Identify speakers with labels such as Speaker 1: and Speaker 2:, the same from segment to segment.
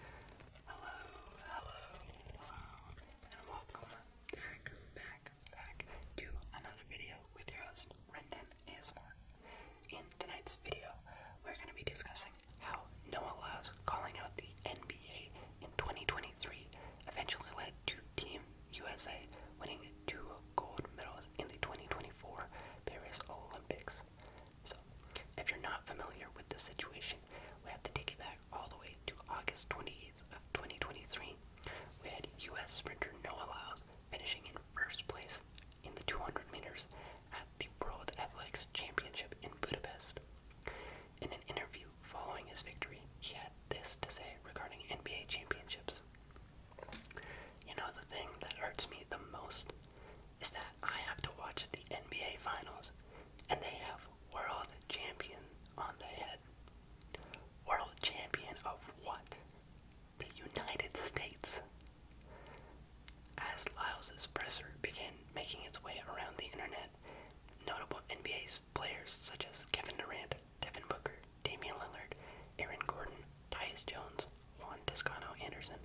Speaker 1: Hello, hello, hello, and welcome back, back, back to another video with your host, Rendon ASMR. In tonight's video, we're going to be discussing how Noah Lyles calling out the NBA in 2023 eventually led to Team USA winning two gold medals in the 2024 Paris Olympics. So, if you're not familiar with the situation, we have to take it back all the way to August 28th of 2023. We had U.S. sprinter Noah Lyles finishing in first place in the 200 meters at the World Athletics Championship in Budapest. In an interview following his victory, he had this to say regarding NBA championships. You know, the thing that hurts me the most is that I have to watch the NBA Finals and they have world champion on the head. World champion of what? The United States. As Lyles' presser began making its way around the internet, notable NBA's players such as Kevin Durant, Devin Booker, Damian Lillard, Aaron Gordon, Tyus Jones, Juan Toscano Anderson,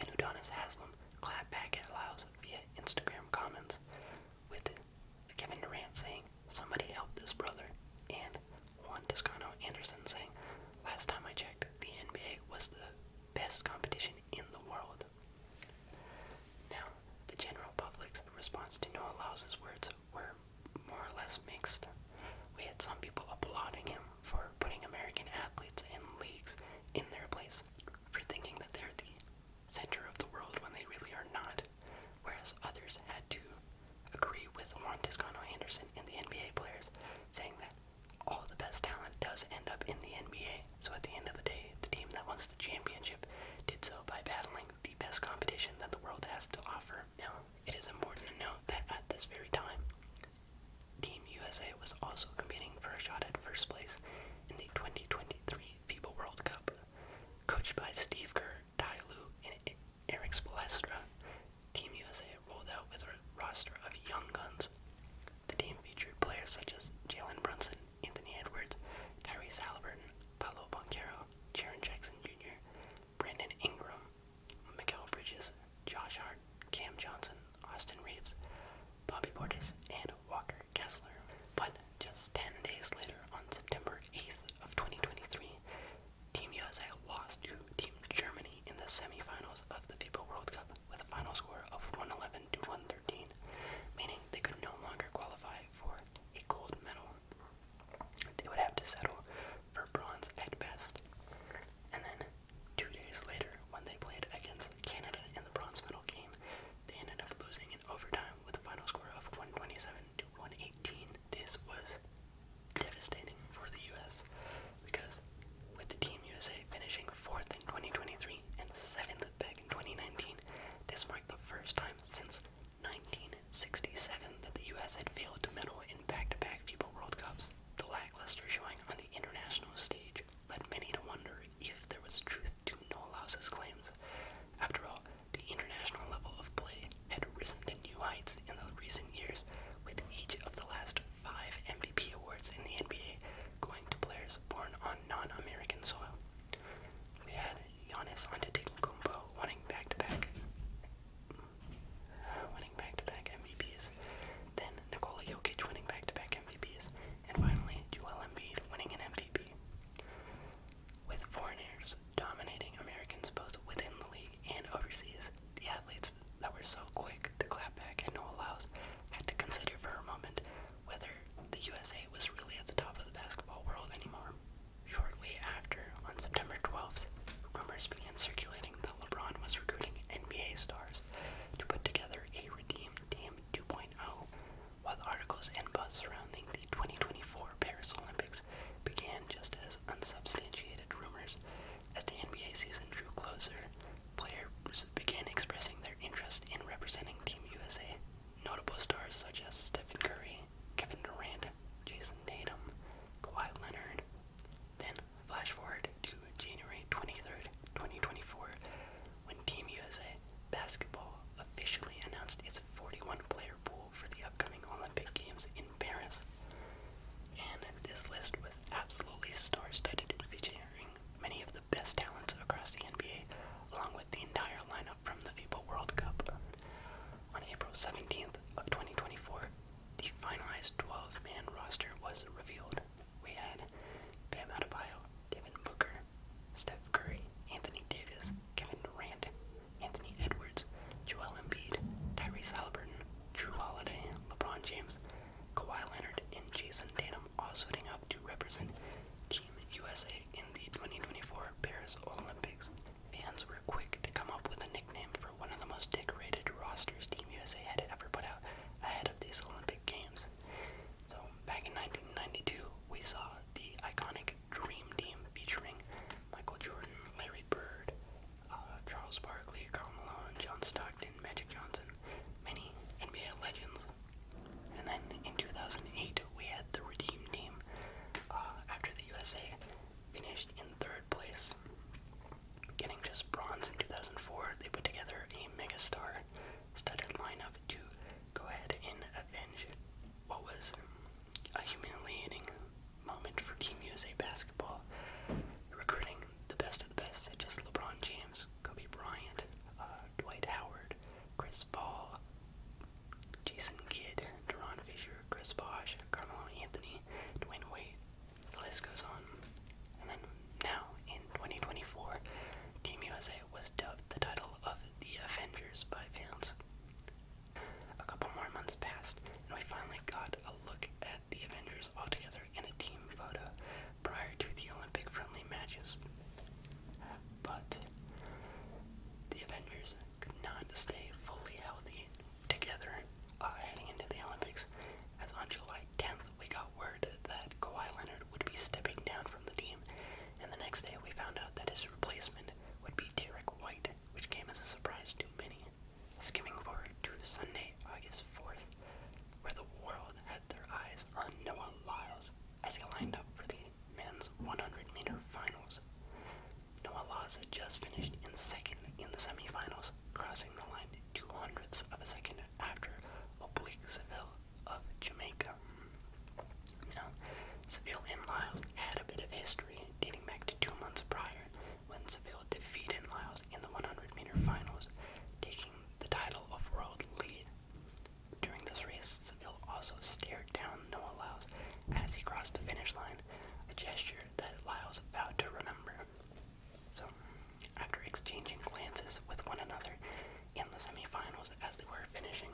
Speaker 1: and Udonis Haslam clapped back at Lyles via Instagram comments, with Kevin Durant saying, Somebody help this brother, and Juan Toscano Anderson saying, Last time I checked, the NBA was the best competition in the world. Now, the general public's response to Noel Lause's words were more or less mixed. We had some people applauding him for putting American athletes and leagues in their place, for thinking that they're the center of the world when they really are not, whereas others had to agree with Juan Toscano Anderson and the NBA players, saying that all the best talent does end up in the NBA. So at the end of the day, the team that wants the championship did so by battling the best competition that the world has to offer. Now, it is important to note that at this very time, Team USA was also competing for a shot at first place in the 2023 FIBA World Cup. Coached by Steve Kerr, Ty Lue, and Eric Spolestra, Team USA rolled out with a roster of young guns. The team featured players such as Jalen Brunson, Anthony Edwards, Tyrese Halliburton, Paolo Banquero, Jaren Jackson Jr., Brandon Ingram, Mikael Bridges, Josh Hart, Cam Johnson, Austin Reeves, Bobby Portis, and Walker Kessler, but just 10 days later, on September 8th of 2023, Team USA lost to Team Germany in the semifinals of the FIFA World Cup with a final score of 111 to 113, meaning they could no longer qualify for a gold medal. They would have to settle for bronze at best. And then, two days later, when they played against Canada in the bronze medal game, they ended up losing in overtime with a final score of 127 to 118. This was devastating for the U.S. because with the Team USA finishing fourth in 2023 and seventh back in 2019, this marked the first time since 1967 that the U.S. had failed to medal in back-to-back People World Cups. The lackluster showing on the international stage led many to wonder if there was truth to Nolaus's claims. After all, the international level of play had risen to new heights in the recent years, with each of the last five MVP awards in the NBA going to players born on non-American soil. We had Giannis Antetokounmpo winning back-to-back, -back, uh, winning back-to-back -back MVPs, then Nikola Jokic winning back-to-back -back and finally Joel Embiid winning an MVP. With foreigners dominating Americans both within the league and overseas, the athletes that were so quick to clap back and no allows had to consider for a moment whether the USA was really at the top of the basketball world anymore. Shortly after, on September 12th, rumors began circulating that LeBron was recruiting NBA stars to put together a Redeem Team 2.0, while articles and buzz surrounding the 2024 Paris Olympics began just as unsubstantiated rumors, as the NBA season drew closer, players began expressing their interest in representing Team USA. Notable stars such as Stephen Curry, Kevin Durant, Jason Tatum, Kawhi Leonard. Then, flash forward to January 23rd, 2024, when Team USA Basketball officially announced its 41 player pool for the upcoming Olympic Games in Paris. And this list was absolutely star studded, featuring many of the best talents across the NBA, along with the entire lineup from the FIBA World Cup. On April 17th of 2024, the finalized 12 man roster was revealed, we had Bam Adebayo, Devin Booker, Steph Curry, Anthony Davis, Kevin Durant, Anthony Edwards, Joel Embiid, Tyrese Halliburton, Drew Holiday, LeBron James, Kawhi Leonard, and Jason Tatum all suiting up to represent Team USA in the 2024 Paris Olympics. Fans were quick to come up with a nickname for one of the most decorated rosters Team USA had ever put out ahead of these Olympic Games. So, back in 1992, we saw the iconic Dream Team featuring Michael Jordan, Larry Bird, uh, Charles Barkley, Carl Malone, John Stockton, Magic Johnson, many NBA legends. And then in 2008, we had the Redeem Team uh, after the USA finished in third place. Getting just bronze in 2004, they put together a mega star started line up to go ahead and avenge what was a humiliating moment for Team USA basketball, recruiting the best of the best, such as LeBron James, Kobe Bryant, uh, Dwight Howard, Chris Paul, Jason Kidd, Deron Fisher, Chris Bosh, Carmelo Anthony, Dwayne Wade. The list goes on. And then now in 2024, Team USA was dubbed the title of The Avengers by fans. A couple more months passed, and we finally got a look at the Avengers all together in a team photo prior to the Olympic friendly matches. But the Avengers could not stay fully healthy together uh, heading into the Olympics, as on July 10th we got word that Kawhi Leonard would be stepping down from the team, and the next day we found out that his replacement would be Derek White, which came as a surprise to many. Skimming forward to Sunday, August 4th, where the world had their eyes on Noah Lyles as he lined up for the men's 100 meter finals. Noah Lyles had just finished in second in the semifinals, crossing the line two hundredths of a second after Obliqueville of Jamaica. Now, Seville and Lyles had a bit of history dating back to two months prior when Seville defeated Lyles in the 100 meter finals, taking the title of world lead. During this race, Seville also stared down Noah Lyles as he crossed the finish line, a gesture that Lyles vowed to remember. So, after exchanging glances with one another, in the semifinals as they were finishing.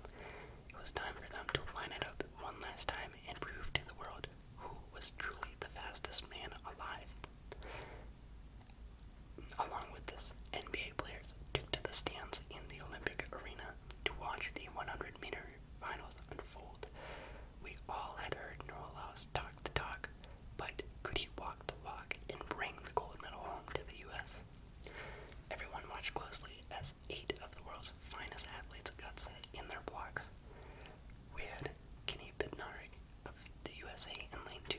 Speaker 1: It was time for them to line it up one last time and prove to the world who was truly the fastest man alive. Along with this, NBA players took to the stands in the Olympic arena to watch the 100 meter finals unfold. We all had heard Noah talk the talk, but could he walk the walk and bring the gold medal home to the U.S.? Everyone watched closely as eight of the world's finest athletes got set in their blocks. We had Kenny Bednarik of the USA in lane 2,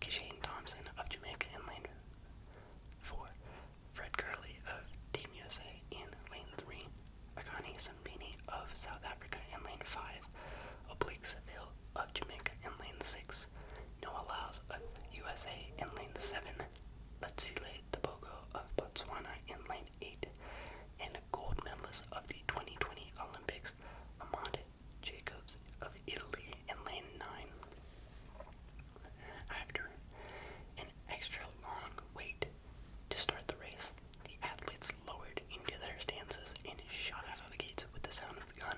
Speaker 1: Kishane Thompson of Jamaica in lane 4, Fred Curley of Team USA in lane 3, Akani Sambini of South Africa in lane 5, Oblique Seville of Jamaica in lane 6, Williams. No allows of USA in lane 7. Batsile Tabogo of Botswana in lane 8. And a gold medalist of the 2020 Olympics, Amand Jacobs of Italy in lane 9. After an extra long wait to start the race, the athletes lowered into their stances and shot out of the gates with the sound of the gun.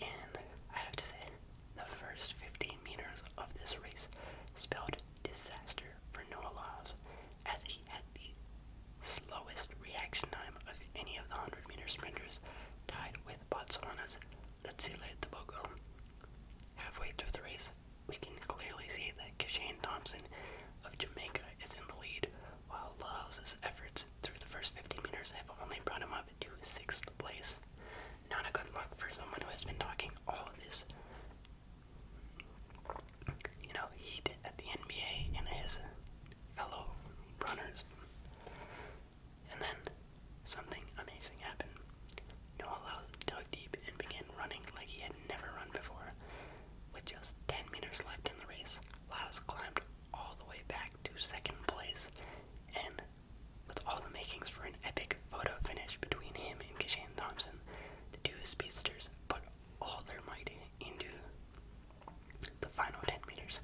Speaker 1: And I have to say, the first 15 meters of this race spelled disaster for Noah Lyles, as he had the slowest reaction time of any of the 100 meter sprinters, tied with Botswana's Letsile Tobago. Halfway through the race, we can clearly see that Kishane Thompson of Jamaica is in the lead, while Lyles' efforts through the first 50 meters have only brought him up to sixth place. Not a good luck for someone who has been talking all of this. You know, heat at the NBA and his fellow runners. And then something amazing happened. Noah Lyles dug deep and began running like he had never run before. With just 10 meters left in the race, Lyles climbed all the way back to second place and with all the makings for an epic photo finish between him and Kishan Thompson, the two speedsters put all their might into the final 10 meters.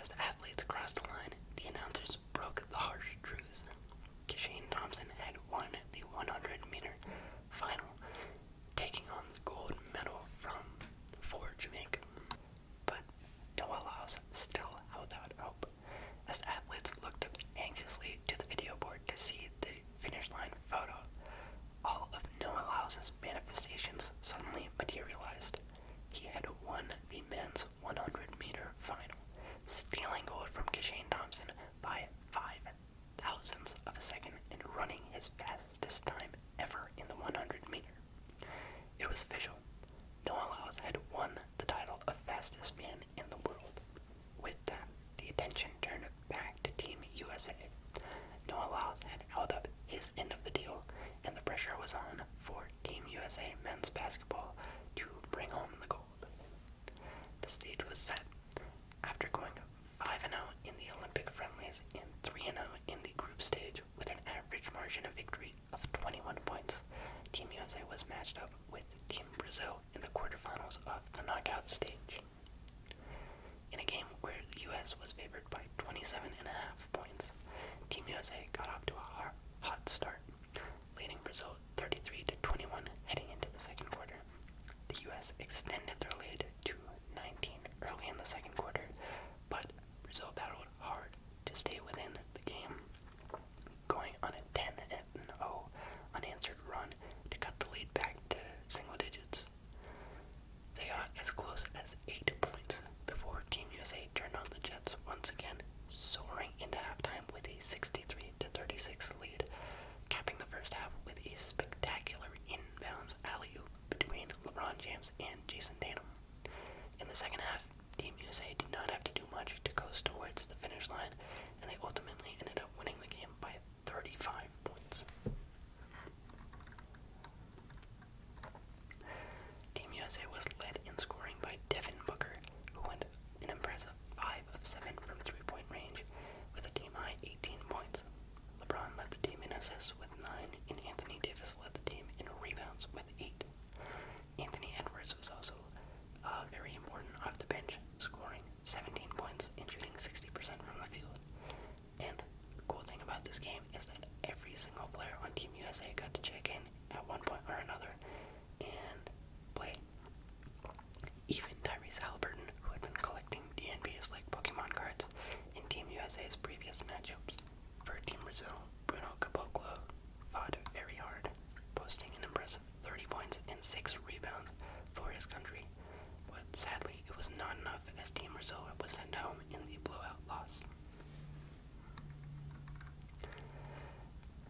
Speaker 1: As the athletes crossed the line, the announcers broke the harsh truth. Kishane Thompson had won the 100 meter final, taking home the gold medal from for Jamaica. But Noah Laos still held out hope, as athletes looked anxiously to the video board to see the finish line photo. All of Noah House's manifestations suddenly materialized. He had won the men's 100 meter final, stealing gold from Kishane Thompson by five thousandths of a second and running his fastest time ever in the 100 meter. It was official. Noah Lyles had won the title of fastest man in the world. With that, the attention turned back to Team USA. Noah Lyles had held up his end of the deal, and the pressure was on for Team USA men's basketball to bring home the gold. The stage was set. After going 5 0 in the Olympic friendlies and 3 0 in the group stage, with an average margin of victory of 21 points. Team USA was matched up with Team Brazil in the quarterfinals of the knockout stage. In a game where the US was favored by 27 and a half points, Team USA got off to a hot start, leading Brazil 33 to 21 heading into the second quarter. The US extended their lead to 19 early in the second quarter, but Brazil battled hard to stay within the game, going on a 10 and 0 unanswered run to cut the lead back to single digits. They got as close as 8 points before Team USA turned on the Jets once again, soaring into halftime with a 63 36 lead, capping the first half with a spectacular inbounds alley oop between LeBron James and Jason Tatum. In the second half, Team USA did not have to do much to go towards the finish line, and they ultimately ended up winning the game by 35 points. Team USA was led in scoring by Devin Booker, who went an impressive 5 of 7 from three point range with a team high 18 points. LeBron led the team in assists with 9, and Anthony Davis led the team in rebounds with 8. Anthony Edwards was also uh, very important off the bench, scoring 17 points and shooting 60% from the field. And the cool thing about this game is that every single player on Team USA got to check in at one point or another and play. Even Tyrese Halliburton, who had been collecting DNPs like Pokemon cards in Team USA's previous matchups, for Team Brazil, Bruno Caboclo fought very hard, posting an impressive 30 points and 6 rebounds for his country, but sadly it was not enough as Team Brazil was sent home in the blowout loss.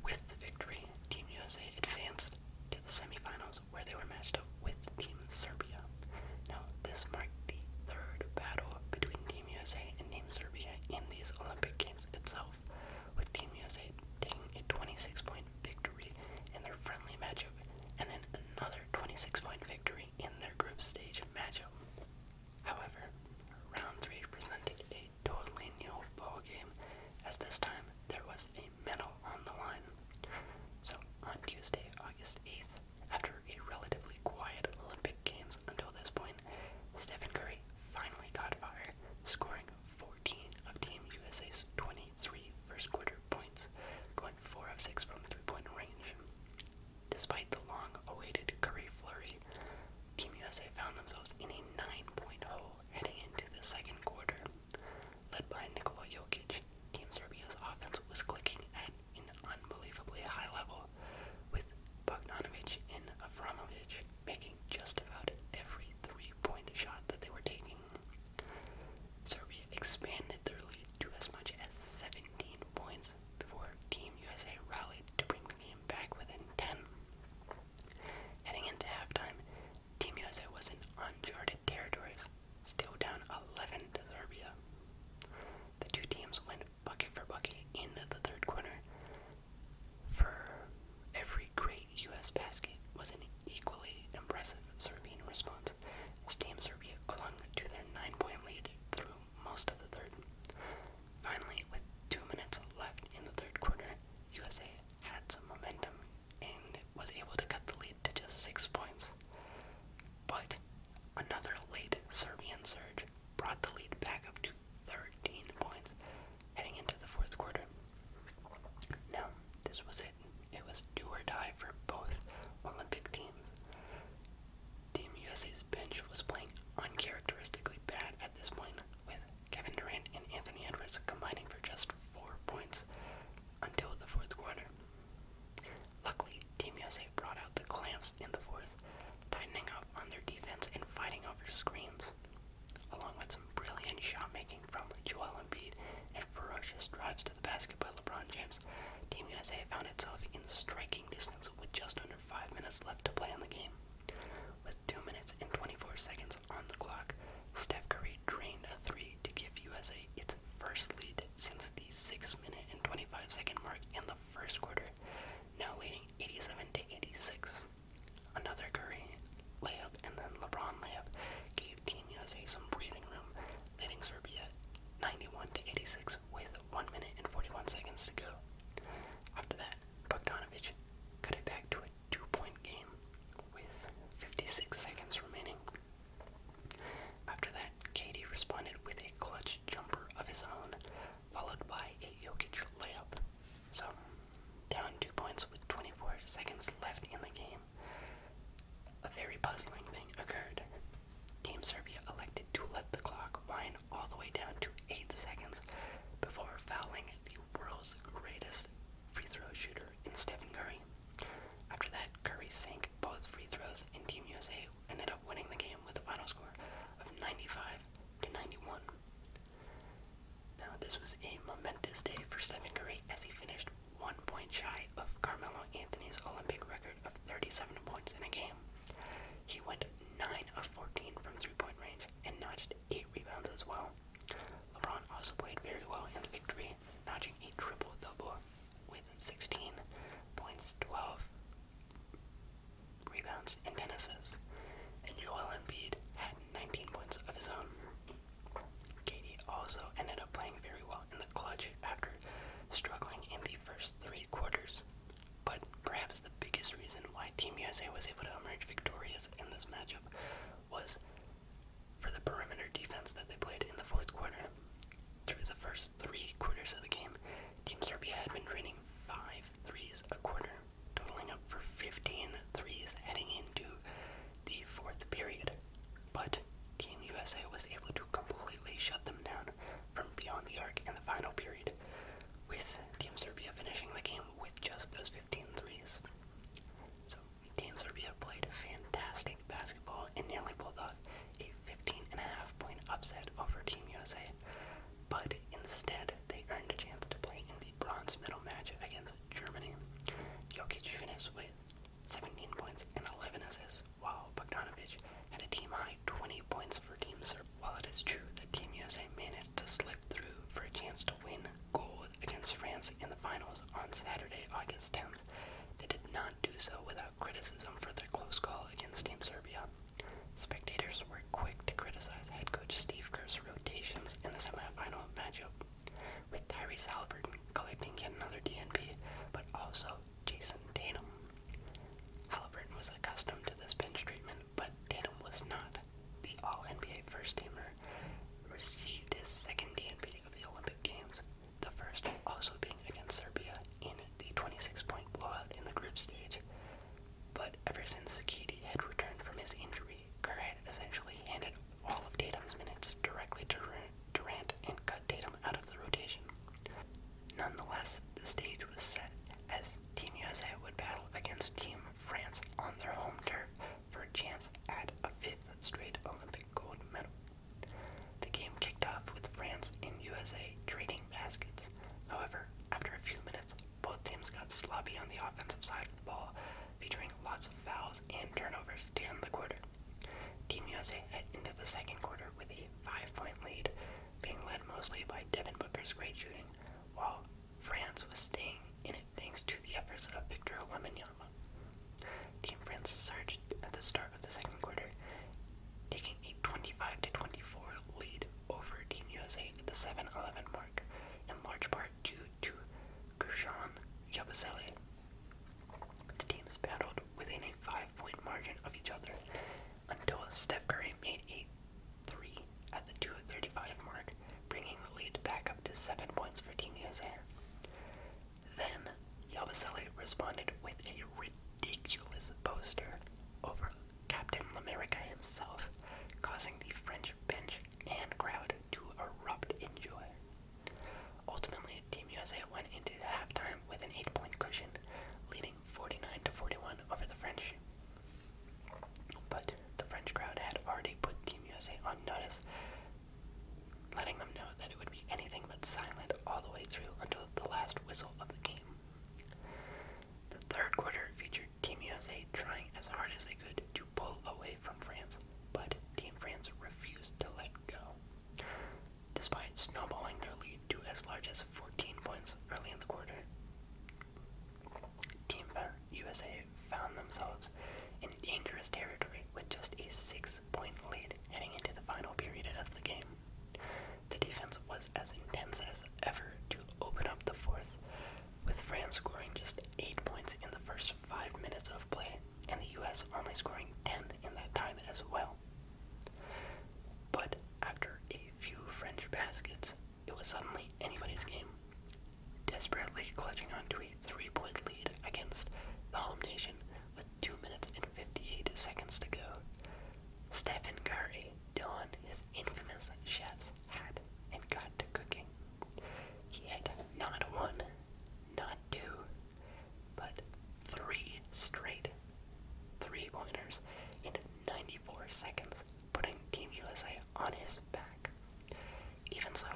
Speaker 1: With the victory, Team USA advanced to the semifinals where they were matched up with Team Serbia. Now, this marked the third battle between Team USA and Team Serbia in these Olympic Games itself, with Team USA taking a 26-point victory in their friendly matchup and then another 26-point victory in their group stage matchup. However, round 3 presented a totally new ball game as this time there was a medal on the line. So on Tuesday, August 8th, after a relatively quiet Olympic Games until this point, Stephen Curry finally caught fire, scoring 14 of Team USA's 23 first quarter points, going 4 of 6 from three point range. Despite the long awaited Curry flurry, Team USA found themselves in a 9 point hole heading into the second quarter. Led by Nikola Jokic, Team Serbia's offense was clicking at an unbelievably high level, with Bogdanovich and Avramovich making just about every three-point shot that they were taking. Serbia expanded their lead to as much as 17 points before Team USA rallied to bring the game back within 10. Heading into halftime, Team USA was in uncharted territories, still down 11 to Serbia. The two teams went bucket for bucket in the third quarter for every great U.S. basket was an equally impressive Serbian response. Team Serbia clung to their nine-point lead through most of the third. Finally, with two minutes left in the third quarter, USA had some momentum and was able to cut the lead to just six points. But another late Serbian surge brought the lead back up to 13 points heading into the fourth quarter. Now, this was it. It was do or die for both Olympic teams. Team USA's bench was playing uncharacteristically bad at this point, with Kevin Durant and Anthony Edwards combining for just four points until the fourth quarter. Luckily, Team USA brought out the clamps in the fourth, tightening up on their defense and fighting over screens, along with some brilliant shot making from Joel Embiid and ferocious drives to the basket by LeBron James. Team USA found itself in striking distance with just under five minutes left to play in the game. With two minutes and 24 seconds on the clock, Steph Curry drained a three to give USA its first lead since the six minute and 25 second mark in the first quarter now leading 87 to 86. Another Curry layup and then LeBron layup gave Team USA some breathing room, leading Serbia 91 to 86 with 1 minute and 41 seconds to go. After that, Bogdanovic cut it back to a two-point game with 56 seconds remaining. After that, Katie responded with a clutch jumper of his own, followed by a Jokic layup. So, down two points with 24 seconds left in the game. A very puzzling thing occurred. Team Serbia elected to let the clock wind all the way down to 8 seconds before fouling the world's greatest free throw shooter in Stephen Curry. After that, Curry sank both free throws, and Team USA ended up winning the game with a final score of 95 to 91. Now, this was a momentous day for Stephen Curry as he finished one point shy of Carmelo Anthony's Olympic record of 37 points in a game. He went 9 of 14 from three point range and notched 8 rebounds as well. LeBron also played very well in the victory, notching a triple double with 16 points, 12 rebounds, and 10 assists. And Joel Embiid had 19 points of his own. Katie also ended up playing very well in the clutch after struggling in the first three quarters. But perhaps the biggest reason why Team USA was able to emerge victorious in this matchup was for the perimeter defense that they played in the fourth quarter. Through the first three quarters of the game, Team Serbia had been draining five threes a quarter, totaling up for 15 heading into the fourth period. But Team USA was able to completely shut them down from beyond the arc in the final period, with Team Serbia finishing the game with just those 15 threes. So, Team Serbia played fantastic basketball and nearly pulled off a 15 and point upset over Team USA but instead they earned a chance to play in the bronze medal match against Germany. Jokic finished with 17 points and 11 assists, while Bogdanovic had a team-high 20 points for Team Serbia. While it is true that Team USA managed to slip through for a chance to win gold against France in the finals on Saturday, August 10th, they did not do so without criticism for their close call against Team Serbia. Spectators were quick to criticize head coach Steve Kerr's rotations in the semifinal matchup, with Tyrese Halliburton collecting yet another DNP, but also Jason Tatum. Halliburton was accustomed to this bench treatment, but Tatum was not. The All-NBA first-teamer received his second DNP of the Olympic Games, the first also being against Serbia in the 26-point blowout in the group stage. But ever since Sakiti had returned from his injury, Kerr had essentially handed all of Tatum's minutes directly to Durant and cut Tatum out of the rotation. Nonetheless, the stage was set as Team USA would battle against Team France on their home turf for a chance at a fifth straight Olympic gold medal. The game kicked off with France and USA trading baskets. However, after a few minutes both teams got sloppy on the offensive side of the ball, featuring lots of fouls and turnovers to the quarter. Team USA head into the second quarter with a five-point lead, being led mostly by Devin Booker's great shooting, while France was staying in it thanks to the efforts of Victor Wembanyama. Team France surged at the start of the second quarter, taking a 25-24 lead over Team Jose at the 7-11 mark in large part due to Gershon Yabusele. The teams battled within a five point margin of each other until Steph Curry made a three at the 235 mark, bringing the lead back up to seven points for Team USA. Then Yabusele responded with a ridiculous poster over Captain Lamerica himself, causing the French bench and crowd to erupt in joy. Ultimately, Team USA went into halftime with an 8-point cushion, leading 49 to 41 over the French. But the French crowd had already put Team USA on notice, letting them know that it would be anything but silent all the way through until the last whistle of the game. The third quarter featured Team USA trying as hard as they could to pull away from France, but Team France refused to let go. Despite snowballing their lead to as large as 14 points early in the quarter, Team USA found themselves in dangerous territory with just a six point lead heading into the final period of the game. The defense was as intense as ever to open up the fourth, with France scoring just 8 points in the first 5 minutes of play, and the US only scoring 10 in that time as well. But after a few French baskets, it was suddenly anybody's game. Desperately clutching onto a three point lead against the home nation with 2 minutes and 58 seconds to go, Stephen Curry donned his infamous chef's had and got to cooking. He had not one, not two, but three straight three pointers in 94 seconds, putting Team USA on his back. Even so,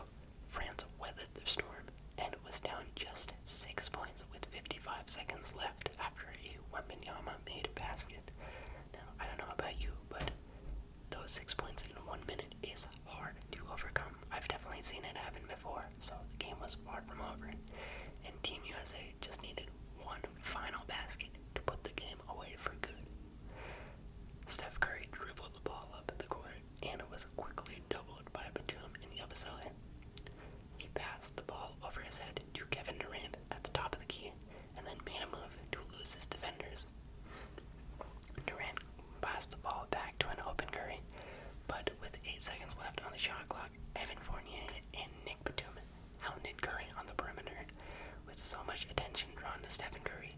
Speaker 1: France weathered the storm and was down just six points with 55 seconds left after a Wembenyama made a basket. Now, I don't know about you, but those six points in one minute is hard to overcome. I've definitely seen it happen before, so the game was far from over. And Team USA just needed one final basket to put the game away for good. Steph Curry dribbled the ball up the court, and it was quickly doubled by Batum and Yabusele. He passed the ball over his head to Kevin Durant at the top of the key, and then made a move to lose his defenders. Durant passed the ball back to an open Curry, but with 8 seconds left on the shot clock, Evan Fournier and Nick Batum hounded Curry on the perimeter. With so much attention drawn to Stephen Curry,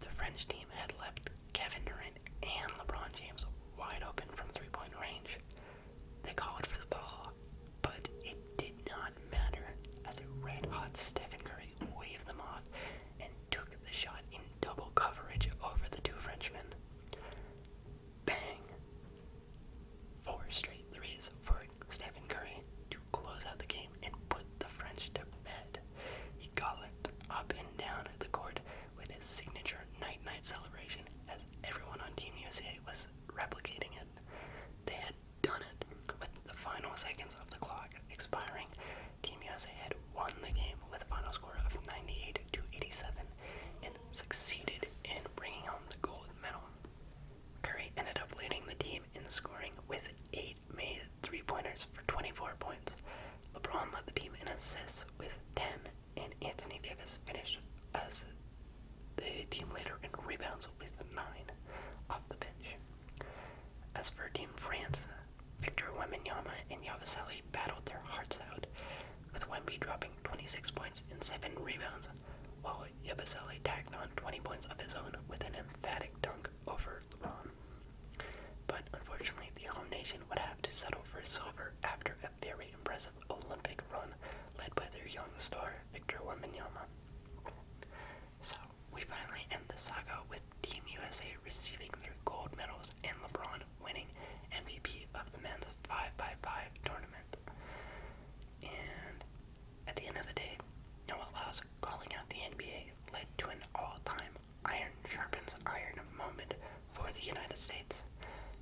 Speaker 1: the French team had left Kevin Durant and LeBron James wide open from three point range. They called for the ball, but it did not matter as a red hot Stephen Curry actually waved them off and took the shot in double coverage over the two Frenchmen. Bang! Four straight threes for Stephen Curry to close out the game and put the French to bed. He galloped up and down the court with his signature night night celebration as everyone on Team USA was replicating it. They had done it. With the final seconds of the clock expiring, Team USA had won the game with a final score of 98 to 87 and succeeded in bringing home the gold medal. Curry ended up leading the team in scoring with 8 made three pointers for 24 points. LeBron led the team in assists with 10, and Anthony Davis finished as the team leader in rebounds with 9 off the bench. As for Team France, Victor Wembanyama and Yabusele battled their hearts out, with Wemby dropping 26 points and 7 rebounds, while Yabusele tacked on 20 points of his own with an emphatic dunk over LeBron. But unfortunately, the home nation would have to settle for silver after a very impressive Olympic run led by their young star, Victor Wembanyama. So we finally end the saga with Team USA receiving their gold medals and LeBron winning MVP of the men's 5x5 tournament. And at the end of the day, Noah Lyles calling out the NBA led to an all-time iron sharpens iron moment for the United States.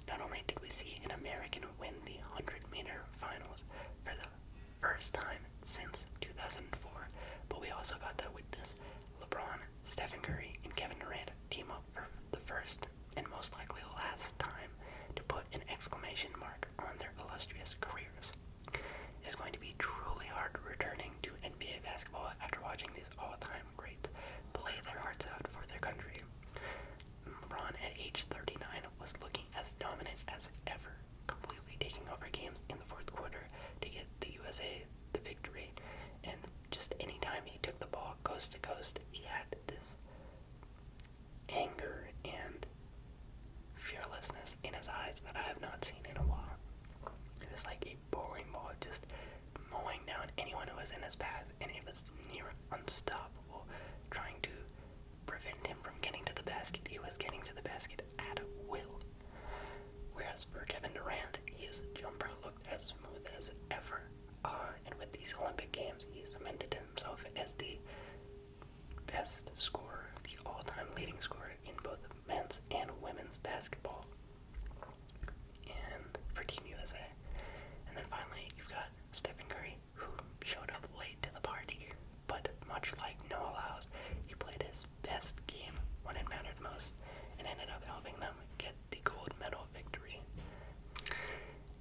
Speaker 1: Not only did we see an American win the 100-meter finals for the first time since 2004. But we also got that with this LeBron, Stephen Curry, and Kevin Durant team up for the first and most likely last time to put an exclamation mark on their illustrious careers. It is going to be truly hard returning to NBA basketball after watching these all-time greats play their hearts out for their country. LeBron at age 39 was looking as dominant as ever completely taking over games in the fourth quarter to get the USA the victory. And just any time he took the ball coast to coast, he had this anger and fearlessness in his eyes that I have not seen in a while. It was like a bowling ball just mowing down anyone who was in his path, and it was near unstoppable, trying to prevent him from getting to the basket. He was getting to the basket at will. Whereas for Kevin Durant, his jumper looked as smooth as ever. Uh, and with these Olympic Games, he cemented himself as the best scorer, the all time leading scorer in both men's and women's basketball. And for Team USA. And then finally, you've got Stephen Curry, who showed up late to the party. But much like Noah House, he played his best game when it mattered most and ended up helping them get the gold medal victory.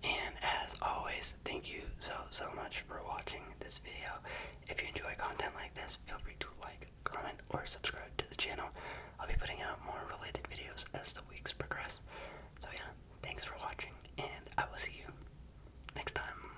Speaker 1: And as always, thank you so, so much for watching this video. If you enjoy content like this, feel free to like, comment, or subscribe to the channel. I'll be putting out more related videos as the weeks progress. So yeah, thanks for watching, and I will see you next time.